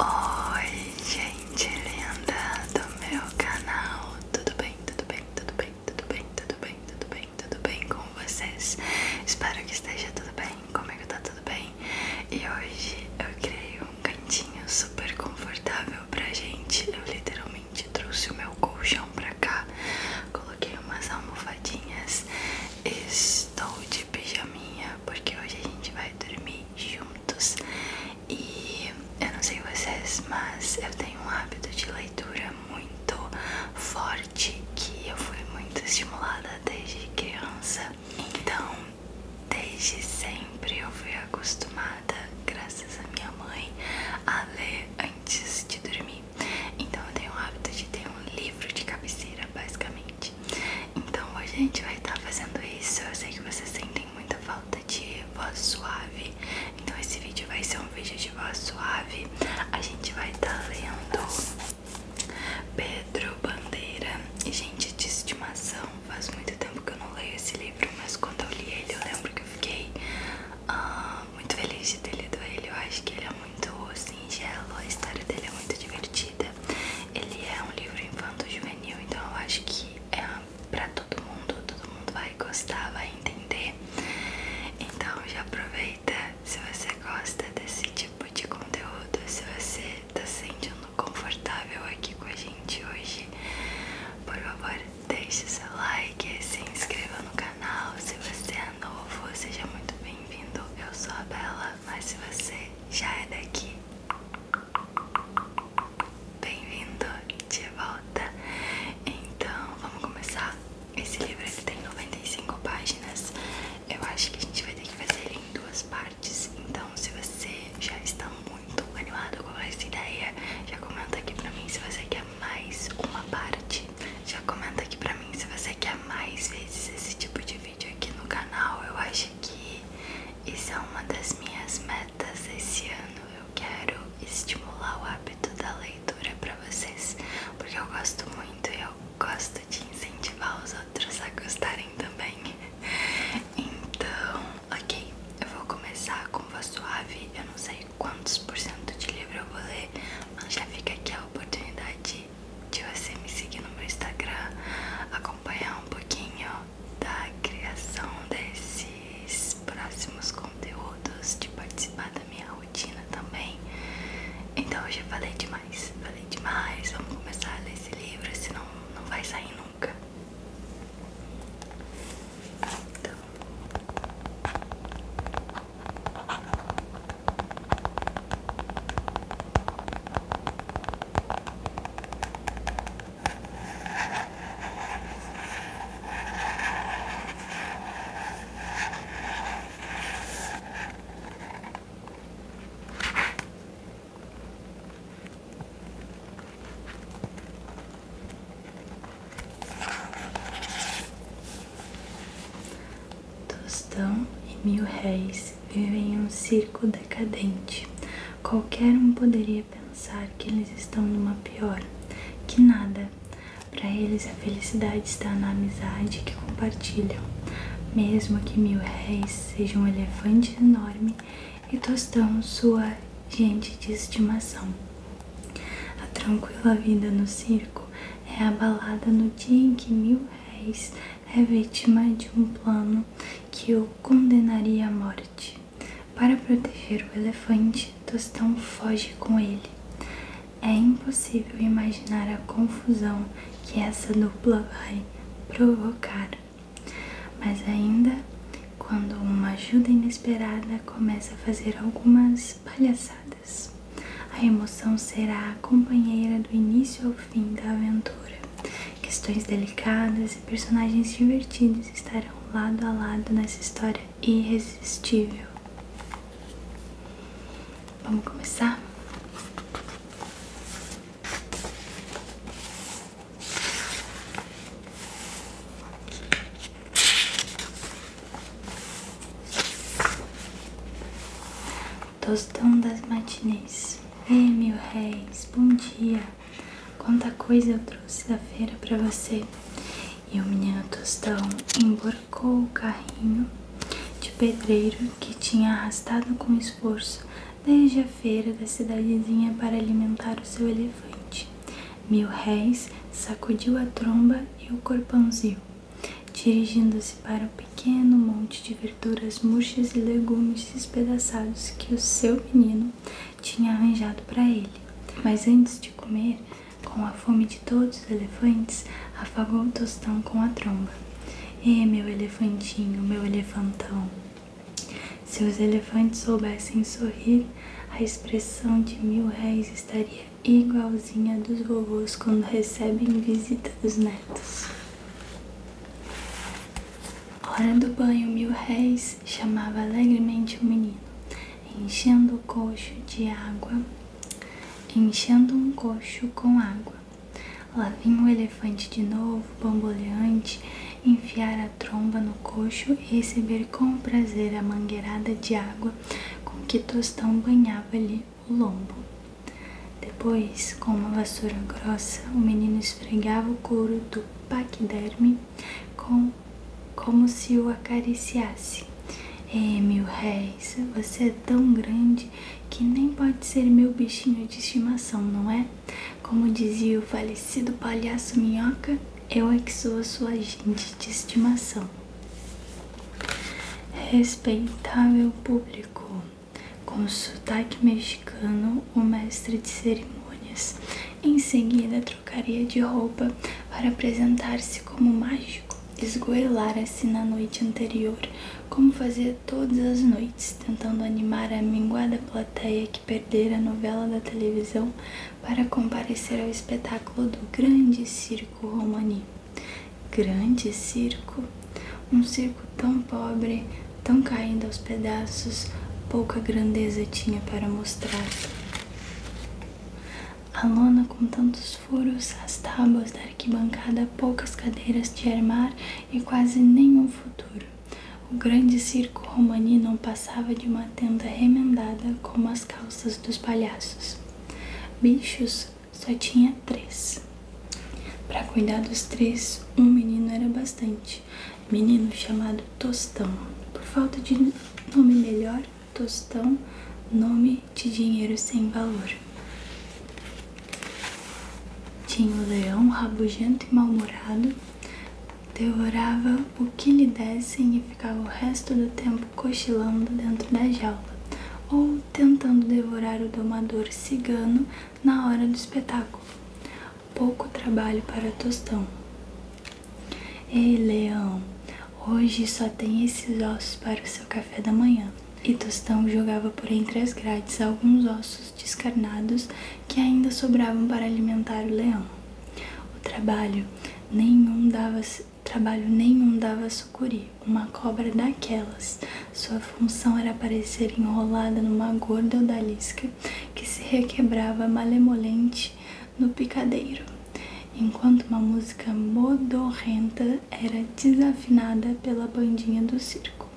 Oi, gente linda do meu canal, tudo bem, tudo bem, tudo bem, tudo bem, tudo bem, tudo bem, tudo bem com vocês? Espero que esteja tudo bem, comigo tá tudo bem e hoje eu criei um cantinho super confortável pra gente. Eu literalmente trouxe o meu colchão pra cá, coloquei umas almofadinhas, estou de pijaminha porque hoje a gente vai dormir juntos. E eu não sei vocês, mas eu tenho um hábito de leitura muito forte que eu fui muito estimulada desde criança. Então, desde sempre eu fui acostumada, graças à minha mãe, a ler antes de dormir. Então, eu tenho o hábito de ter um livro de cabeceira, basicamente. Então hoje a gente vai estar tá fazendo isso. Eu sei que vocês sentem muita falta de voz suave. Então esse vídeo vai ser um vídeo de voz suave. A gente vai estar tá lendo Pedro Bandeira e gente de estimação. Faz muito tempo que eu não leio esse livro, mas quando eu li ele eu lembro que eu fiquei ah, muito feliz de ter lido ele. Eu acho que ele é muito singelo, a história dele é muito divertida ele é um livro infanto-juvenil, então eu acho que é pra todo mundo, todo mundo vai gostar, vai entender. Então já aproveita se você gosta desse tipo de conteúdo, se você tá se sentindo confortável aqui com a gente hoje, por favor deixe seu like, se inscreva no canal, se você é novo, seja muito bem-vindo. Eu sou a Bela, mas se você já é daqui, Bem-vindo de volta. Então, vamos começar. Esse livro ele tem 95 páginas. Eu acho que a gente vai ter que fazer ele em duas partes. Então, se você já está muito animado com essa ideia, já comenta aqui pra mim se você quer mais uma parte. Já comenta aqui pra mim se você quer mais vezes esse tipo de vídeo vídeo aqui no canal. Eu acho que isso é uma das minhas metas esse ano. Eu quero estimular o hábito da leitura para vocês, porque eu gosto muito e eu gosto de incentivar os outros a gostarem também. Então, ok, eu vou começar com voz suave. Eu não sei quantos por cento de livro eu vou ler, mas já fica aqui a oportunidade de você me seguir no meu Instagram, acompanhar um pouquinho da criação desses próximos conteúdos, de participar da minha rotina também. Então eu já falei demais, falei demais, vamos começar a ler esse livro, senão não vai sair nunca. Então. Tostão e mil réis vivem em um circo decadente. Qualquer um poderia pensar que eles estão numa pior, que nada. Para eles a felicidade está na amizade que compartilham. Mesmo que mil réis seja um elefante enorme e tostão sua gente de estimação. A tranquila vida no circo é abalada no dia em que mil réis é vítima de um plano que o condenaria à morte. Para proteger o elefante, Tostão foge com ele. É impossível imaginar a confusão que essa dupla vai provocar. Mas ainda, quando uma ajuda inesperada começa a fazer algumas palhaçadas, a emoção será a companheira do início ao fim da aventura. Questões delicadas e personagens divertidos estarão lado a lado nessa história irresistível. Vamos começar? Tostão das matinês. É, meu réis, bom dia. Quanta coisa eu trouxe da feira para você. E o menino Tostão emborcou o carrinho de pedreiro que tinha arrastado com esforço desde a feira da cidadezinha para alimentar o seu elefante. Mil réis sacudiu a tromba e o corpãozinho, dirigindo-se para o pequeno monte de verduras murchas e legumes dentes despedaçados que o seu menino tinha arranjado para ele. Mas antes de comer, com a fome de todos os elefantes, afagou o tostão com a tromba. Ei, meu elefantinho, meu elefantão. Se os elefantes soubessem sorrir, a expressão de mil réis estaria igualzinha dos vovôs quando recebem visita dos netos. Hora do banho, mil réis chamava alegremente o menino, enchendo o coxo de água, enchendo um coxo com água. Lá vinha o elefante de novo, bamboleante, enfiar a tromba no coxo e receber com prazer a mangueirada de água com que Tostão banhava-lhe o lombo. Depois, com uma vassoura grossa, o menino esfregava o couro do paquiderme com, como se o acariciasse. É, meu réis, você é tão grande que nem pode ser meu bichinho de estimação, não é? Como dizia o falecido palhaço Minhoca, eu é que sou a sua gente de estimação. Respeitável público, com sotaque mexicano, o mestre de cerimônias. Em seguida, trocaria de roupa para apresentar-se como mágico. Esgoelara-se na noite anterior, como fazia todas as noites, tentando animar a minguada plateia que perdera a novela da televisão para comparecer ao espetáculo do Grande Circo Romani. Grande circo? Um circo tão pobre, Tão caindo aos pedaços, pouca grandeza tinha para mostrar. A lona com tantos furos, as tábuas da arquibancada, poucas cadeiras de armar e quase nenhum futuro. O grande circo romani não passava de uma tenda remendada como as calças dos palhaços. Bichos só tinha três. Para cuidar dos três, um menino era bastante, menino chamado Tostão. Por falta de nome melhor, Tostão, nome de dinheiro sem valor. Tinha um leão rabugento e mal-humorado, devorava o que lhe dessem e ficava o resto do tempo cochilando dentro da jaula, ou tentando devorar o domador cigano na hora do espetáculo pouco trabalho para Tostão. Ei, Leão, hoje só tem esses ossos para o seu café da manhã. E Tostão jogava por entre as grades alguns ossos descarnados que ainda sobravam para alimentar o leão. O trabalho nenhum dava trabalho nenhum dava a sucuri, uma cobra daquelas. Sua função era aparecer enrolada numa gorda odalisca que se requebrava malemolente no picadeiro, enquanto uma música modorrenta era desafinada pela bandinha do circo.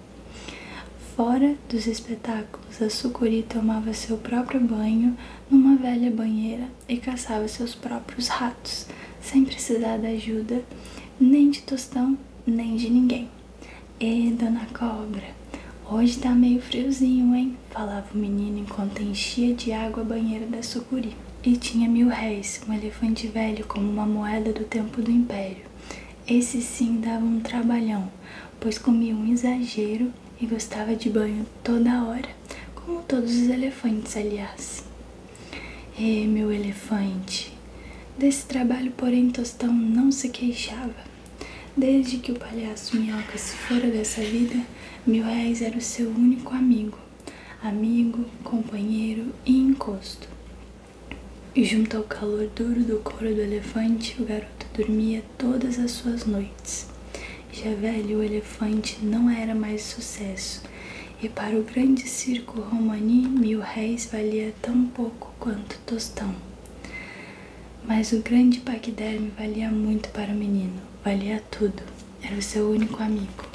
Fora dos espetáculos, a sucuri tomava seu próprio banho numa velha banheira e caçava seus próprios ratos, sem precisar da ajuda nem de tostão nem de ninguém. E dona cobra, hoje tá meio friozinho, hein? Falava o menino enquanto enchia de água a banheira da sucuri. E tinha mil réis, um elefante velho como uma moeda do tempo do império. Esse sim dava um trabalhão, pois comia um exagero e gostava de banho toda hora, como todos os elefantes, aliás. E meu elefante, desse trabalho, porém, Tostão não se queixava. Desde que o palhaço minhoca se fora dessa vida, mil reis era o seu único amigo, amigo, companheiro e encosto. E junto ao calor duro do couro do elefante, o garoto dormia todas as suas noites. Já velho, o elefante não era mais sucesso, e para o grande circo romani, mil reis valia tão pouco quanto tostão. Mas o grande paquiderme valia muito para o menino, valia tudo. Era o seu único amigo.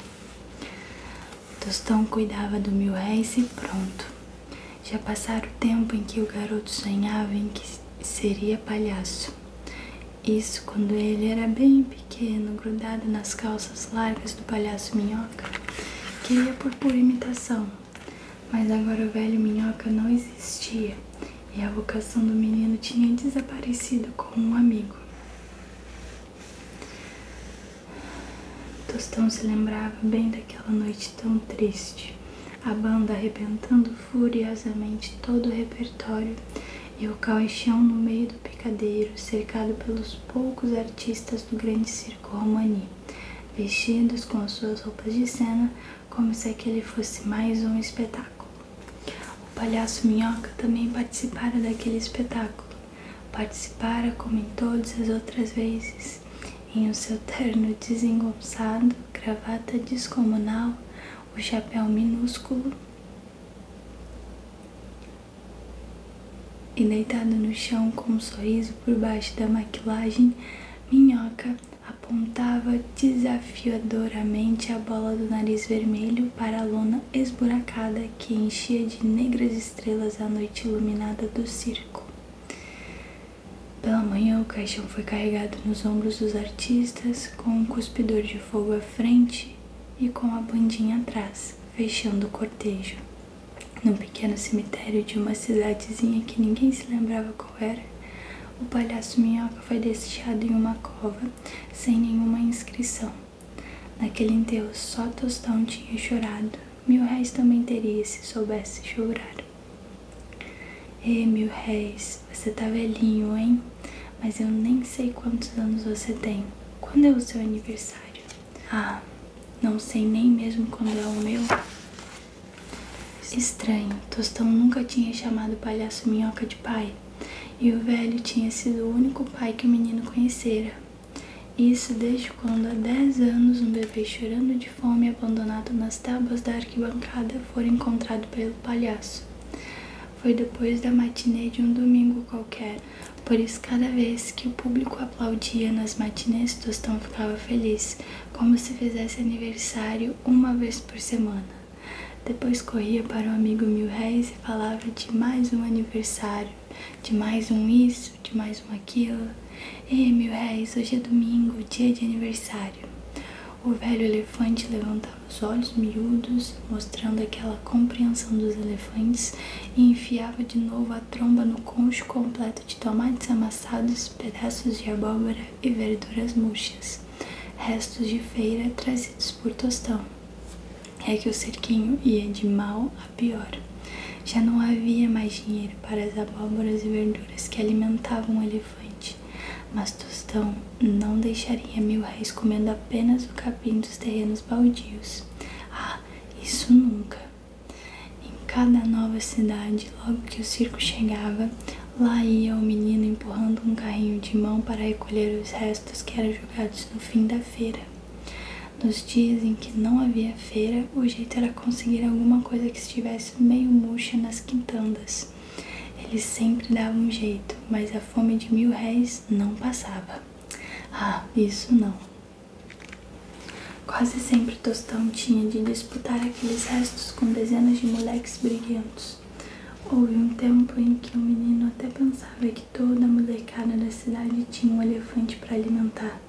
Tostão cuidava do mil réis e pronto. Já passara o tempo em que o garoto sonhava em que seria palhaço. Isso quando ele era bem pequeno, grudado nas calças largas do palhaço minhoca, que ia por pura imitação. Mas agora o velho minhoca não existia e a vocação do menino tinha desaparecido como um amigo. Tostão se lembrava bem daquela noite tão triste, a banda arrebentando furiosamente todo o repertório e o caixão no meio do picadeiro, cercado pelos poucos artistas do grande circo romani, vestidos com suas roupas de cena como se aquele fosse mais um espetáculo. O palhaço Minhoca também participara daquele espetáculo. Participara como em todas as outras vezes, em o seu terno desengonçado, gravata descomunal, o chapéu minúsculo e deitado no chão com um sorriso por baixo da maquilagem, Minhoca apontava desafiadoramente a bola do nariz vermelho para a lona esburacada que enchia de negras estrelas a noite iluminada do circo. Pela manhã, o caixão foi carregado nos ombros dos artistas, com um cuspidor de fogo à frente e com a bandinha atrás, fechando o cortejo. Num pequeno cemitério de uma cidadezinha que ninguém se lembrava era. O palhaço minhoca foi deixado em uma cova, sem nenhuma inscrição. Naquele enterro só Tostão tinha chorado. Mil réis também teria se soubesse chorar. E mil réis, você tá velhinho, hein? Mas eu nem sei quantos anos você tem. Quando é o seu aniversário? Ah, não sei nem mesmo quando é o meu. Estranho, Tostão nunca tinha chamado o palhaço minhoca de pai, e o velho tinha sido o único pai que o menino conhecera. Isso desde quando há 10 anos um bebê chorando de fome abandonado nas tábuas da arquibancada foi encontrado pelo palhaço. Foi depois da matinê de um domingo qualquer, por isso cada vez que o público aplaudia nas matinês Tostão ficava feliz, como se fizesse aniversário uma vez por semana. Depois corria para o amigo Mil e falava de mais um aniversário, de mais um isso, de mais um aquilo. Ei, Mil hoje é domingo, dia de aniversário. O velho elefante levantava os olhos miúdos, mostrando aquela compreensão dos elefantes, e enfiava de novo a tromba no concho completo de tomates amassados, pedaços de abóbora e verduras murchas, restos de feira trazidos por Tostão. É que o cerquinho ia de mal a pior. Já não havia mais dinheiro para as abóboras e verduras que alimentavam o elefante, mas Tostão não deixaria mil réis comendo apenas o capim dos terrenos baldios. Ah, isso nunca! Em cada nova cidade, logo que o circo chegava, lá ia o menino empurrando um carrinho de mão para recolher os restos que eram jogados no fim da feira. Nos dias em que não havia feira, o jeito era conseguir alguma coisa que estivesse meio murcha nas quintandas. Ele sempre dava um jeito, mas a fome de mil réis não passava. Ah, isso não. Quase sempre Tostão tinha de disputar aqueles restos com dezenas de moleques briguentos. Houve um tempo em que o menino até pensava que toda a molecada da cidade tinha um elefante para alimentar.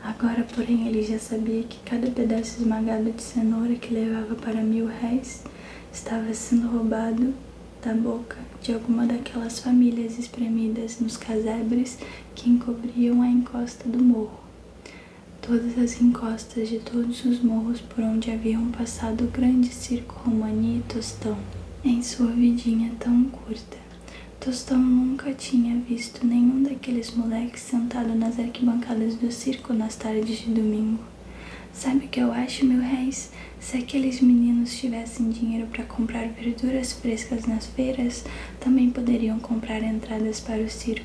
Agora, porém, ele já sabia que cada pedaço esmagado de cenoura que levava para mil réis estava sendo roubado da boca de alguma daquelas famílias espremidas nos casebres que encobriam a encosta do morro todas as encostas de todos os morros por onde haviam passado o grande circo Romani e Tostão, em sua vidinha tão curta. Tostão nunca tinha visto nenhum daqueles moleques sentado nas arquibancadas do circo nas tardes de domingo. Sabe o que eu acho, meu réis? Se aqueles meninos tivessem dinheiro para comprar verduras frescas nas feiras, também poderiam comprar entradas para o circo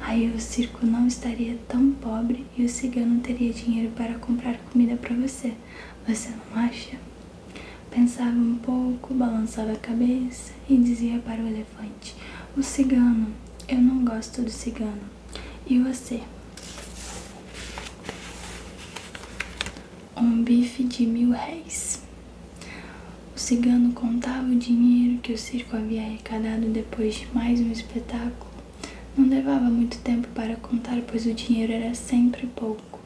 Aí o circo não estaria tão pobre e o cigano teria dinheiro para comprar comida para você. Você não acha? Pensava um pouco, balançava a cabeça e dizia para o elefante: O cigano, eu não gosto do cigano. E você? Um bife de mil réis. O cigano contava o dinheiro que o circo havia arrecadado depois de mais um espetáculo. Não levava muito tempo para contar, pois o dinheiro era sempre pouco.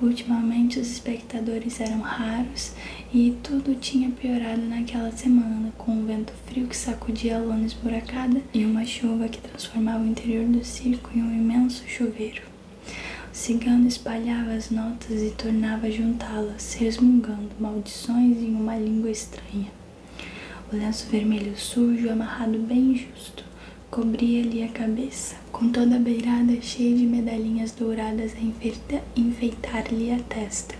Ultimamente os espectadores eram raros e tudo tinha piorado naquela semana, com um vento frio que sacudia a lona esburacada e uma chuva que transformava o interior do circo em um imenso chuveiro. O cigano espalhava as notas e tornava a juntá-las, resmungando maldições em uma língua estranha. O lenço vermelho sujo, amarrado bem justo, cobria-lhe a cabeça, com toda a beirada cheia de medalhinhas douradas a enfeitar-lhe a testa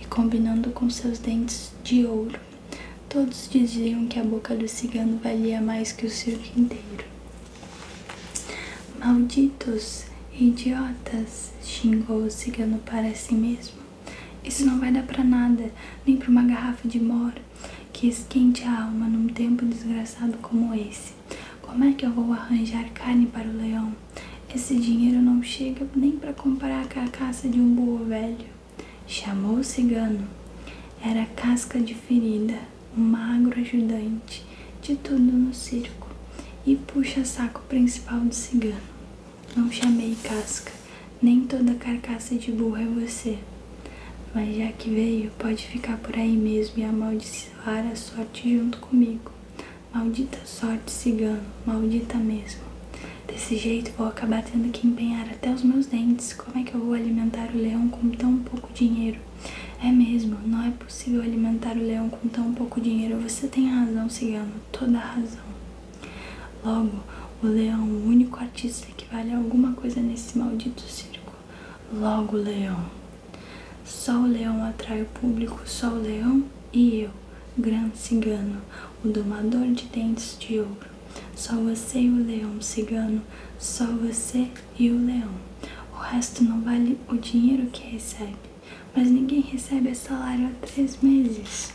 e combinando com seus dentes de ouro. Todos diziam que a boca do cigano valia mais que o circo inteiro. Malditos, idiotas! xingou o cigano para si mesmo. Isso não vai dar pra nada, nem pra uma garrafa de mora que esquente a alma num tempo desgraçado como esse. Como é que eu vou arranjar carne para o leão? Esse dinheiro não chega nem para comprar a carcaça de um burro velho. Chamou o cigano. Era casca de ferida, um magro ajudante de tudo no circo e puxa-saco principal do cigano. Não chamei casca, nem toda carcaça de burro é você. Mas já que veio, pode ficar por aí mesmo e amaldiçoar a sorte junto comigo. Maldita sorte, cigano, maldita mesmo. Desse jeito vou acabar tendo que empenhar até os meus dentes. Como é que eu vou alimentar o leão com tão pouco dinheiro? É mesmo, não é possível alimentar o leão com tão pouco dinheiro. Você tem razão, cigano, toda razão. Logo, o leão, o único artista que vale alguma coisa nesse maldito circo. Logo, leão. Só o leão atrai o público, só o leão e eu, gran cigano, o domador de dentes de ouro. Só você e o leão cigano, só você e o leão. O resto não vale o dinheiro que recebe, mas ninguém recebe salário há três meses.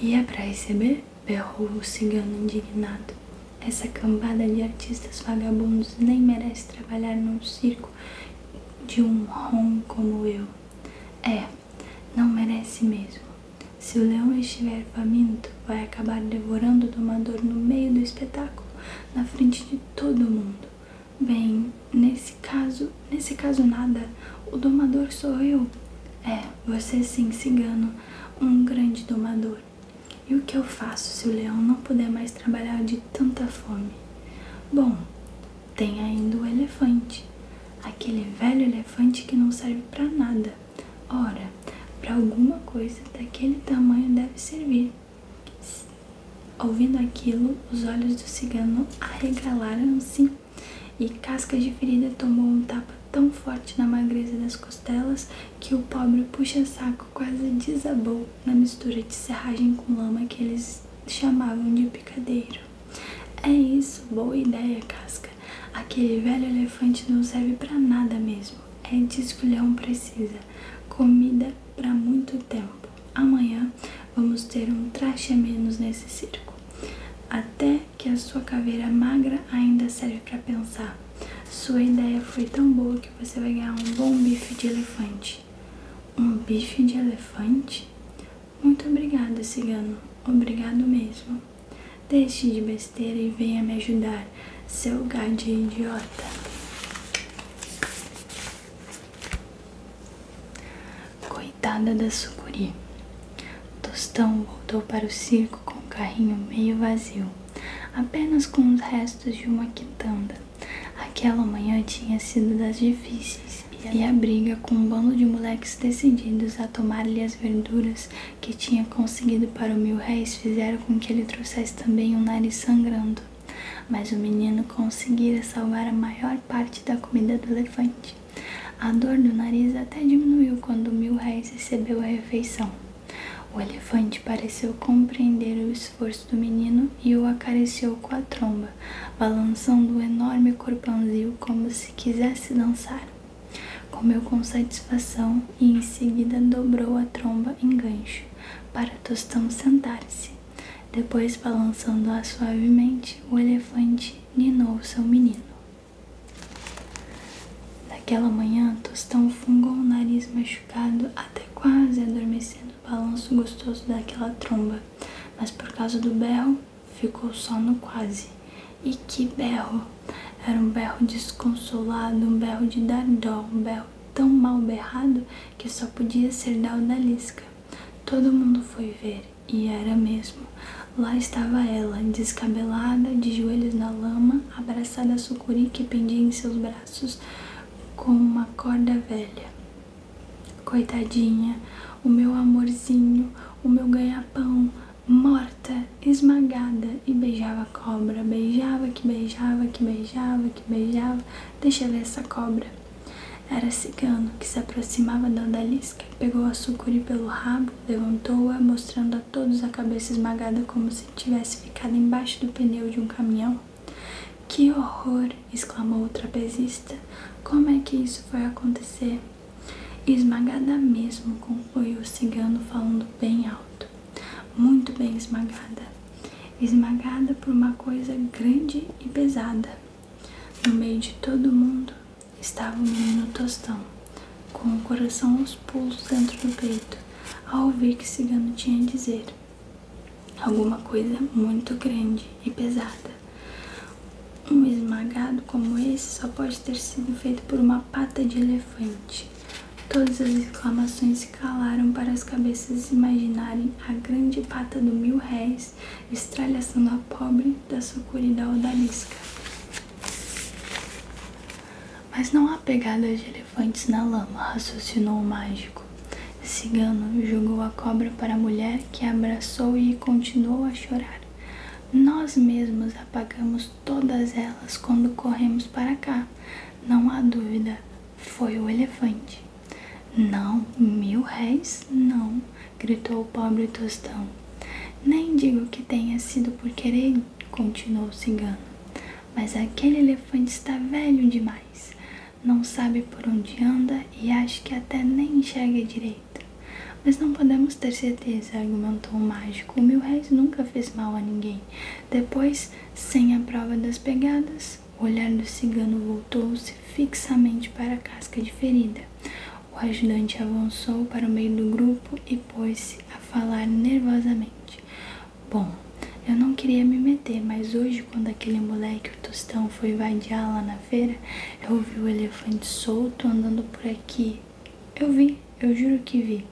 E é pra receber? berrou o cigano indignado. Essa cambada de artistas vagabundos nem merece trabalhar num circo de um rom como eu. É, não merece mesmo. Se o leão estiver faminto, vai acabar devorando o domador no meio do espetáculo, na frente de todo mundo. Bem, nesse caso, nesse caso nada, o domador sorriu. É, você sim, cigano, um grande domador. E o que eu faço se o leão não puder mais trabalhar de tanta fome? Bom, tem ainda o elefante, aquele velho elefante que não serve para nada. Ora, para alguma coisa daquele tamanho deve servir. Ouvindo aquilo, os olhos do cigano arregalaram-se e Casca de Ferida tomou um tapa tão forte na magreza das costelas que o pobre puxa-saco quase desabou na mistura de serragem com lama que eles chamavam de picadeiro. É isso, boa ideia, Casca. Aquele velho elefante não serve para nada mesmo. É de esculhão precisa. Comida para muito tempo. Amanhã vamos ter um traste a menos nesse circo. Até que a sua caveira magra ainda serve para pensar. Sua ideia foi tão boa que você vai ganhar um bom bife de elefante. Um bife de elefante? Muito obrigada, cigano. Obrigado mesmo. Deixe de besteira e venha me ajudar, seu gado idiota. Coitada da sucuri. Tostão voltou para o circo com o carrinho meio vazio, apenas com os restos de uma quitanda. Aquela manhã tinha sido das difíceis e a briga com um bando de moleques decididos a tomar-lhe as verduras que tinha conseguido para o mil réis fizeram com que ele trouxesse também um nariz sangrando. Mas o menino conseguira salvar a maior parte da comida do elefante. A dor no nariz até diminuiu quando Mil Milhouse recebeu a refeição. O elefante pareceu compreender o esforço do menino e o acariciou com a tromba, balançando o enorme corpãozinho como se quisesse dançar. Comeu com satisfação e em seguida dobrou a tromba em gancho para Tostão sentar-se. Depois, balançando-a suavemente, o elefante ninou seu menino. Naquela manhã, Tostão fungou o nariz machucado até quase adormecer no balanço gostoso daquela tromba, mas por causa do berro, ficou só no quase. E que berro! Era um berro desconsolado, um berro de dar um berro tão mal berrado que só podia ser da odalisca. Todo mundo foi ver e era mesmo. Lá estava ela, descabelada, de joelhos na lama, abraçada a sucuri que pendia em seus braços com uma corda velha. Coitadinha, o meu amorzinho, o meu ganha-pão, morta, esmagada, e beijava a cobra, beijava que beijava que beijava que beijava, deixa ver essa cobra. Era cigano que se aproximava da odalisca, pegou a sucuri pelo rabo, levantou-a, mostrando a todos a cabeça esmagada como se tivesse ficado embaixo do pneu de um caminhão. Que horror! exclamou o trapezista. Como é que isso foi acontecer? Esmagada mesmo, concluiu o cigano, falando bem alto. Muito bem esmagada. Esmagada por uma coisa grande e pesada. No meio de todo mundo estava o menino Tostão, com o coração aos pulos dentro do peito, ao ouvir que Cigano tinha a dizer. Alguma coisa muito grande e pesada. Um esmagado como esse só pode ter sido feito por uma pata de elefante. Todas as exclamações se calaram para as cabeças imaginarem a grande pata do mil réis atrás, estralhaçando a pobre da sucurida odalisca. Mas não há pegadas de elefantes na lama, raciocinou o mágico. Cigano jogou a cobra para a mulher, que abraçou e continuou a chorar. Nós mesmos apagamos todas elas quando corremos para cá. Não há dúvida, foi o elefante. Não, mil réis, não gritou o pobre Tostão. Nem digo que tenha sido por querer, continuou o cigano, mas aquele elefante está velho demais. Não sabe por onde anda e acho que até nem enxerga direito. Mas não podemos ter certeza, argumentou o mágico. O mil réis nunca fez mal a ninguém. Depois, sem a prova das pegadas, o olhar do cigano voltou-se fixamente para a casca de ferida. O ajudante avançou para o meio do grupo e pôs-se a falar nervosamente. Bom, eu não queria me meter, mas hoje, quando aquele moleque, o Tostão, foi vadiar lá na feira, eu ouvi o elefante solto andando por aqui. Eu vi, eu juro que vi.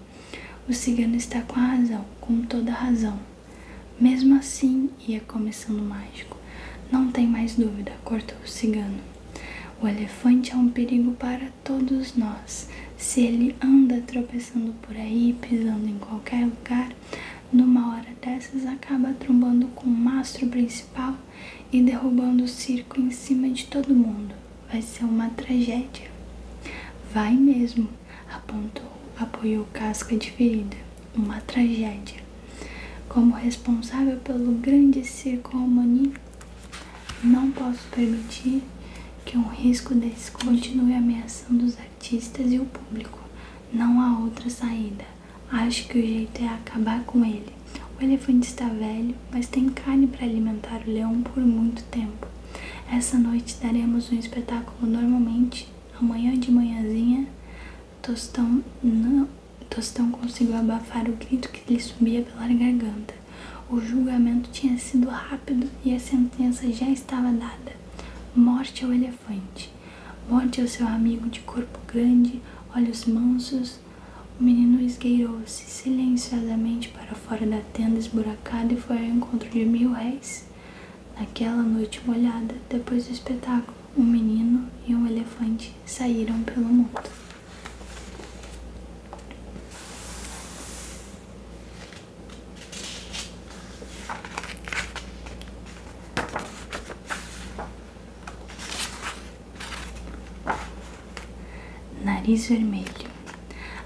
O cigano está com a razão, com toda a razão. Mesmo assim, e começando o mágico. Não tem mais dúvida, cortou o cigano. O elefante é um perigo para todos nós. Se ele anda tropeçando por aí, pisando em qualquer lugar, numa hora dessas acaba trombando com o mastro principal e derrubando o circo em cima de todo mundo. Vai ser uma tragédia. Vai mesmo, apontou, apoiou casca de ferida. Uma tragédia. Como responsável pelo grande circo Romani, não posso permitir que um risco desse continue ameaçando os artistas e o público. Não há outra saída. Acho que o jeito é acabar com ele. O elefante está velho, mas tem carne para alimentar o leão por muito tempo. Essa noite daremos um espetáculo normalmente. Amanhã de manhãzinha Tostão não, Tostão conseguiu abafar o grito que lhe subia pela garganta. O julgamento tinha sido rápido e a sentença já estava dada. Morte ao elefante. Morte ao seu amigo de corpo grande, olhos mansos. O menino esgueirou-se silenciosamente para fora da tenda esburacada e foi ao encontro de mil réis. Naquela noite molhada, depois do espetáculo, um menino e um elefante saíram pelo mundo. Nariz vermelho.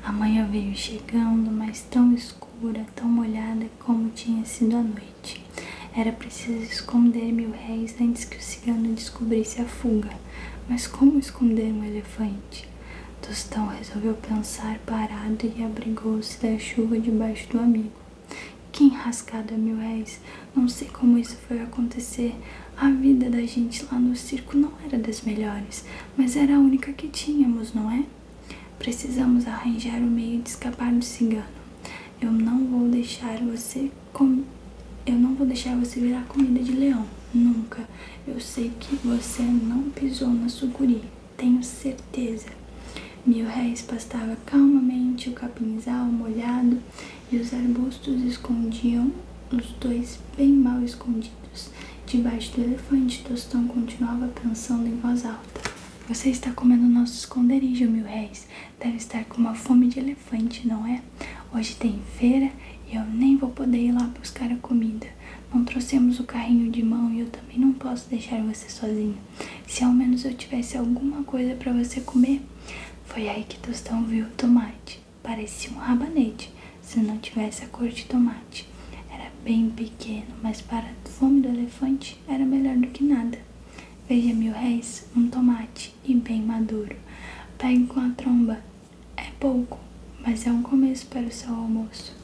A manhã veio chegando, mas tão escura, tão molhada como tinha sido a noite. Era preciso esconder mil réis antes que o cigano descobrisse a fuga. Mas como esconder um elefante? Tostão resolveu pensar parado e abrigou-se da chuva debaixo do amigo. Que enrascado a mil réis! Não sei como isso foi acontecer. A vida da gente lá no circo não era das melhores, mas era a única que tínhamos, não é? Precisamos arranjar o um meio de escapar do cigano. Eu não vou deixar você com... eu não vou deixar você virar comida de leão, nunca. Eu sei que você não pisou na sucuri, tenho certeza. Mil réis pastava calmamente o capinzal molhado e os arbustos escondiam os dois bem mal escondidos. Debaixo do elefante, Tostão continuava pensando em voz alta. Você está comendo nosso esconderijo, Mil Réis. Deve estar com uma fome de elefante, não é? Hoje tem feira e eu nem vou poder ir lá buscar a comida. Não trouxemos o carrinho de mão e eu também não posso deixar você sozinho. Se ao menos eu tivesse alguma coisa para você comer. Foi aí que Tostão viu o tomate. Parecia um rabanete, se não tivesse a cor de tomate. Era bem pequeno, mas para a fome do elefante era melhor do que nada. Veja mil réis, um tomate e bem maduro. Pegue com a tromba. É pouco, mas é um começo para o seu almoço.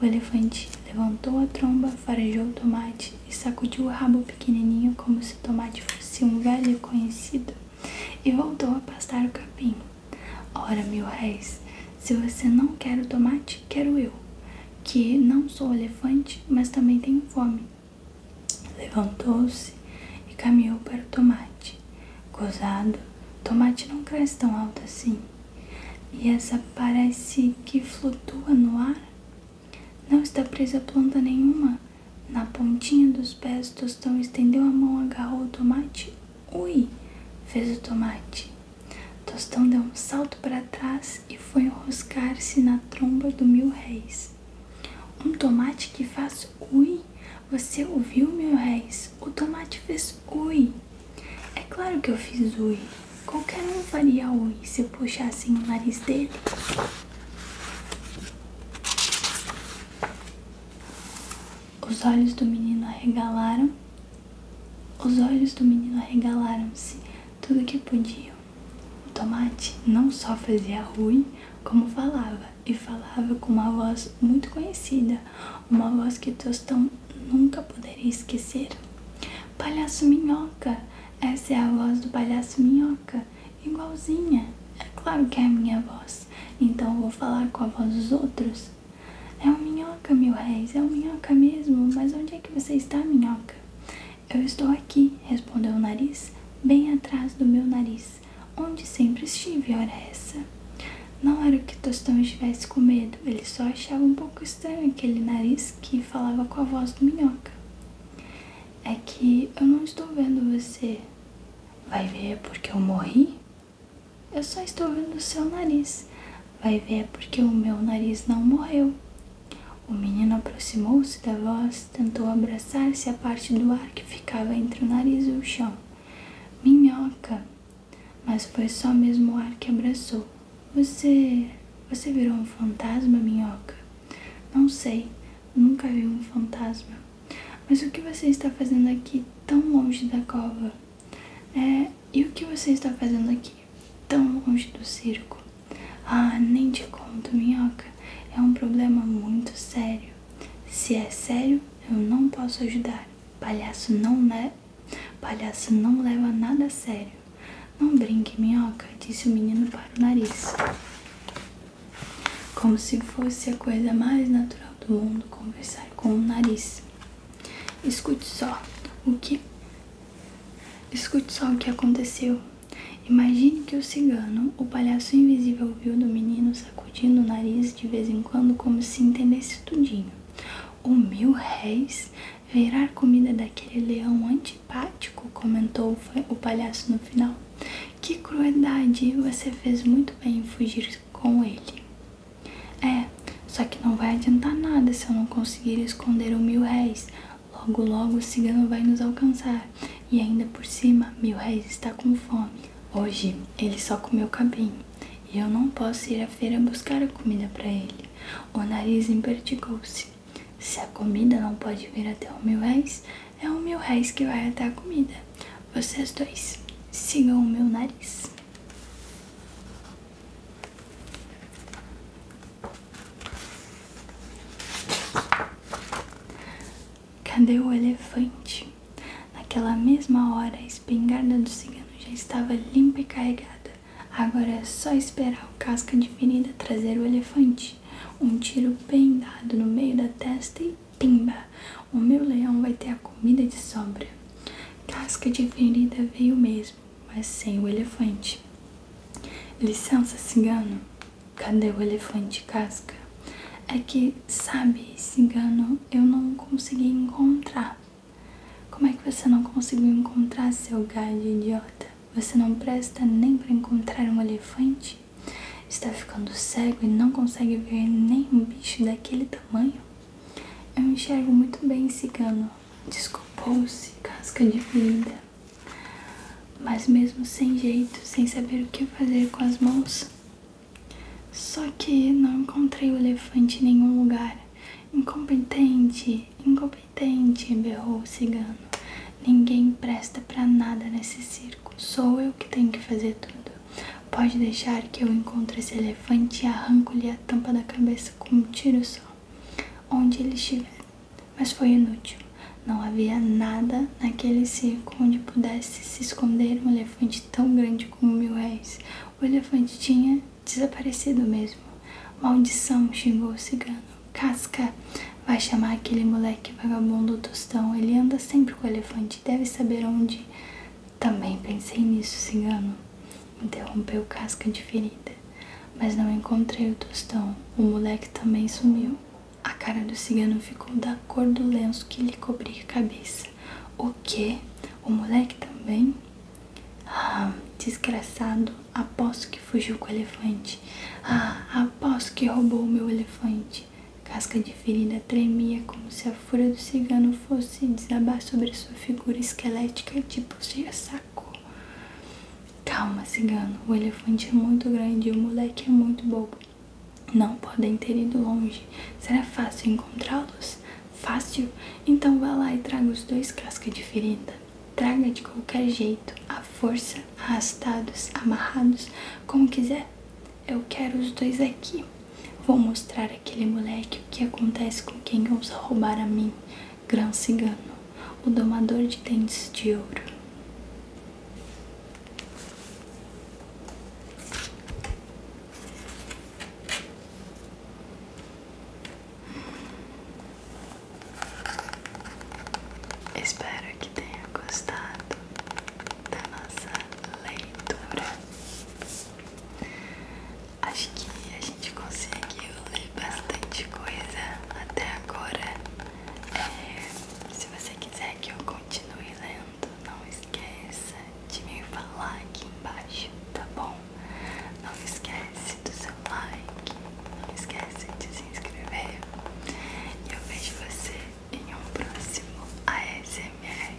O elefante levantou a tromba, farejou o tomate e sacudiu o rabo pequenininho como se o tomate fosse um velho conhecido e voltou a pastar o capim. Ora, mil réis, se você não quer o tomate, quero eu, que não sou elefante, mas também tenho fome. Levantou-se e caminhou para o tomate. Gozado, tomate não cresce tão alto assim. E essa parece que flutua no ar. Não está presa a planta nenhuma. Na pontinha dos pés, Tostão estendeu a mão, agarrou o tomate. Ui! fez o tomate. Tostão deu um salto para trás e foi enroscar-se na tromba do mil réis. Um tomate que faz ui. Você ouviu, meu réis? O tomate fez ui. É claro que eu fiz ui. Qualquer um faria ui se eu puxasse o nariz dele. Os olhos do menino arregalaram. Os olhos do menino arregalaram-se tudo que podiam. O tomate não só fazia ruim, como falava, e falava com uma voz muito conhecida, uma voz que Tostão nunca poderia esquecer. Palhaço Minhoca! Essa é a voz do palhaço Minhoca, igualzinha. É claro que é a minha voz, então vou falar com a voz dos outros. É o minhoca, meu réis, é o minhoca mesmo, mas onde é que você está, minhoca? Eu estou aqui, respondeu o nariz, bem atrás do meu nariz onde sempre estive, ora essa? Não era que Tostão estivesse com medo, ele só achava um pouco estranho aquele nariz que falava com a voz do minhoca. É que eu não estou vendo você. Vai ver porque eu morri? Eu só estou vendo seu nariz. Vai ver porque o meu nariz não morreu. O menino aproximou-se da voz tentou abraçar-se à parte do ar que ficava entre o nariz e o chão. Minhoca! Mas foi só mesmo o ar que abraçou. Você. Você virou um fantasma, minhoca? Não sei, nunca vi um fantasma. Mas o que você está fazendo aqui tão longe da cova? É, e o que você está fazendo aqui tão longe do circo? Ah, nem te conto, minhoca. É um problema muito sério. Se é sério, eu não posso ajudar. Palhaço não, le... Palhaço não leva nada a sério. Não brinque, minhoca, disse o menino para o nariz. Como se fosse a coisa mais natural do mundo conversar com o nariz. Escute só o que. Escute só o que aconteceu. Imagine que o cigano, o palhaço invisível, viu o menino sacudindo o nariz de vez em quando, como se entendesse tudinho. O mil réis virar comida daquele leão antipático, comentou o palhaço no final. Que crueldade! Você fez muito bem em fugir com ele. É, só que não vai adiantar nada se eu não conseguir esconder o mil réis. Logo, logo o cigano vai nos alcançar e ainda por cima, Mil Réis está com fome. Hoje ele só comeu cabinho e eu não posso ir à feira buscar a comida para ele. O nariz empertigou-se. Se a comida não pode vir até o Mil Réis, é o Mil Réis que vai até a comida. Vocês dois, sigam o meu nariz. Cadê o elefante? Naquela mesma hora, a espingarda do cigano já estava limpa e carregada. Agora é só esperar o casca de ferida trazer o elefante. Um tiro bem dado no meio da testa e pimba! O meu leão vai ter a comida de sobra. Casca de ferida veio mesmo, mas sem o elefante. Licença, cigano, Cadê o elefante casca? É que, sabe, cigano, eu não consegui encontrar. Como é que você não conseguiu encontrar seu galho idiota? Você não presta nem para encontrar um elefante? Está ficando cego e não consegue ver nem um bicho daquele tamanho? Eu enxergo muito bem, cigano. Desculpou-se, casca de vida mas mesmo sem jeito, sem saber o que fazer com as mãos. Só que não encontrei o elefante em nenhum lugar. Incompetente, incompetente, berrou o cigano. Ninguém presta para nada nesse circo. Sou eu que tenho que fazer tudo. Pode deixar que eu encontre esse elefante e arranco-lhe a tampa da cabeça com um tiro só, onde ele estiver. Mas foi inútil. Não havia nada naquele circo onde pudesse se esconder um elefante tão grande como mil réis. O elefante tinha desaparecido mesmo. Maldição, xingou o cigano. Casca, vai chamar aquele moleque vagabundo tostão. Ele anda sempre com o elefante, deve saber onde. Também pensei nisso, cigano. Interrompeu Casca de ferida. Mas não encontrei o tostão. O moleque também sumiu. A cara do cigano ficou da cor do lenço que lhe cobria a cabeça. O que? O moleque também? Ah, desgraçado, aposto que fugiu com o elefante. Ah, aposto que roubou o meu elefante. Casca de ferida tremia como se a fúria do cigano fosse desabar sobre sua figura esquelética tipo cheia saco. Calma, cigano, o elefante é muito grande e o moleque é muito bobo. Não podem ter ido longe. Será fácil encontrá-los? Fácil? Então vá lá e traga os dois cascos de ferida. Traga de qualquer jeito, à força, arrastados, amarrados, como quiser. Eu quero os dois aqui. Vou mostrar àquele moleque o que acontece com quem ousa roubar a mim, Grão Cigano, o domador de dentes de ouro. Espero que tenha gostado da nossa leitura. Acho que a gente conseguiu ler bastante coisa até agora. É, se você quiser que eu continue lendo, então, não esqueça de me falar aqui embaixo, tá bom? Não esquece do seu like, não esquece de se inscrever. E eu vejo você em um próximo ASMR.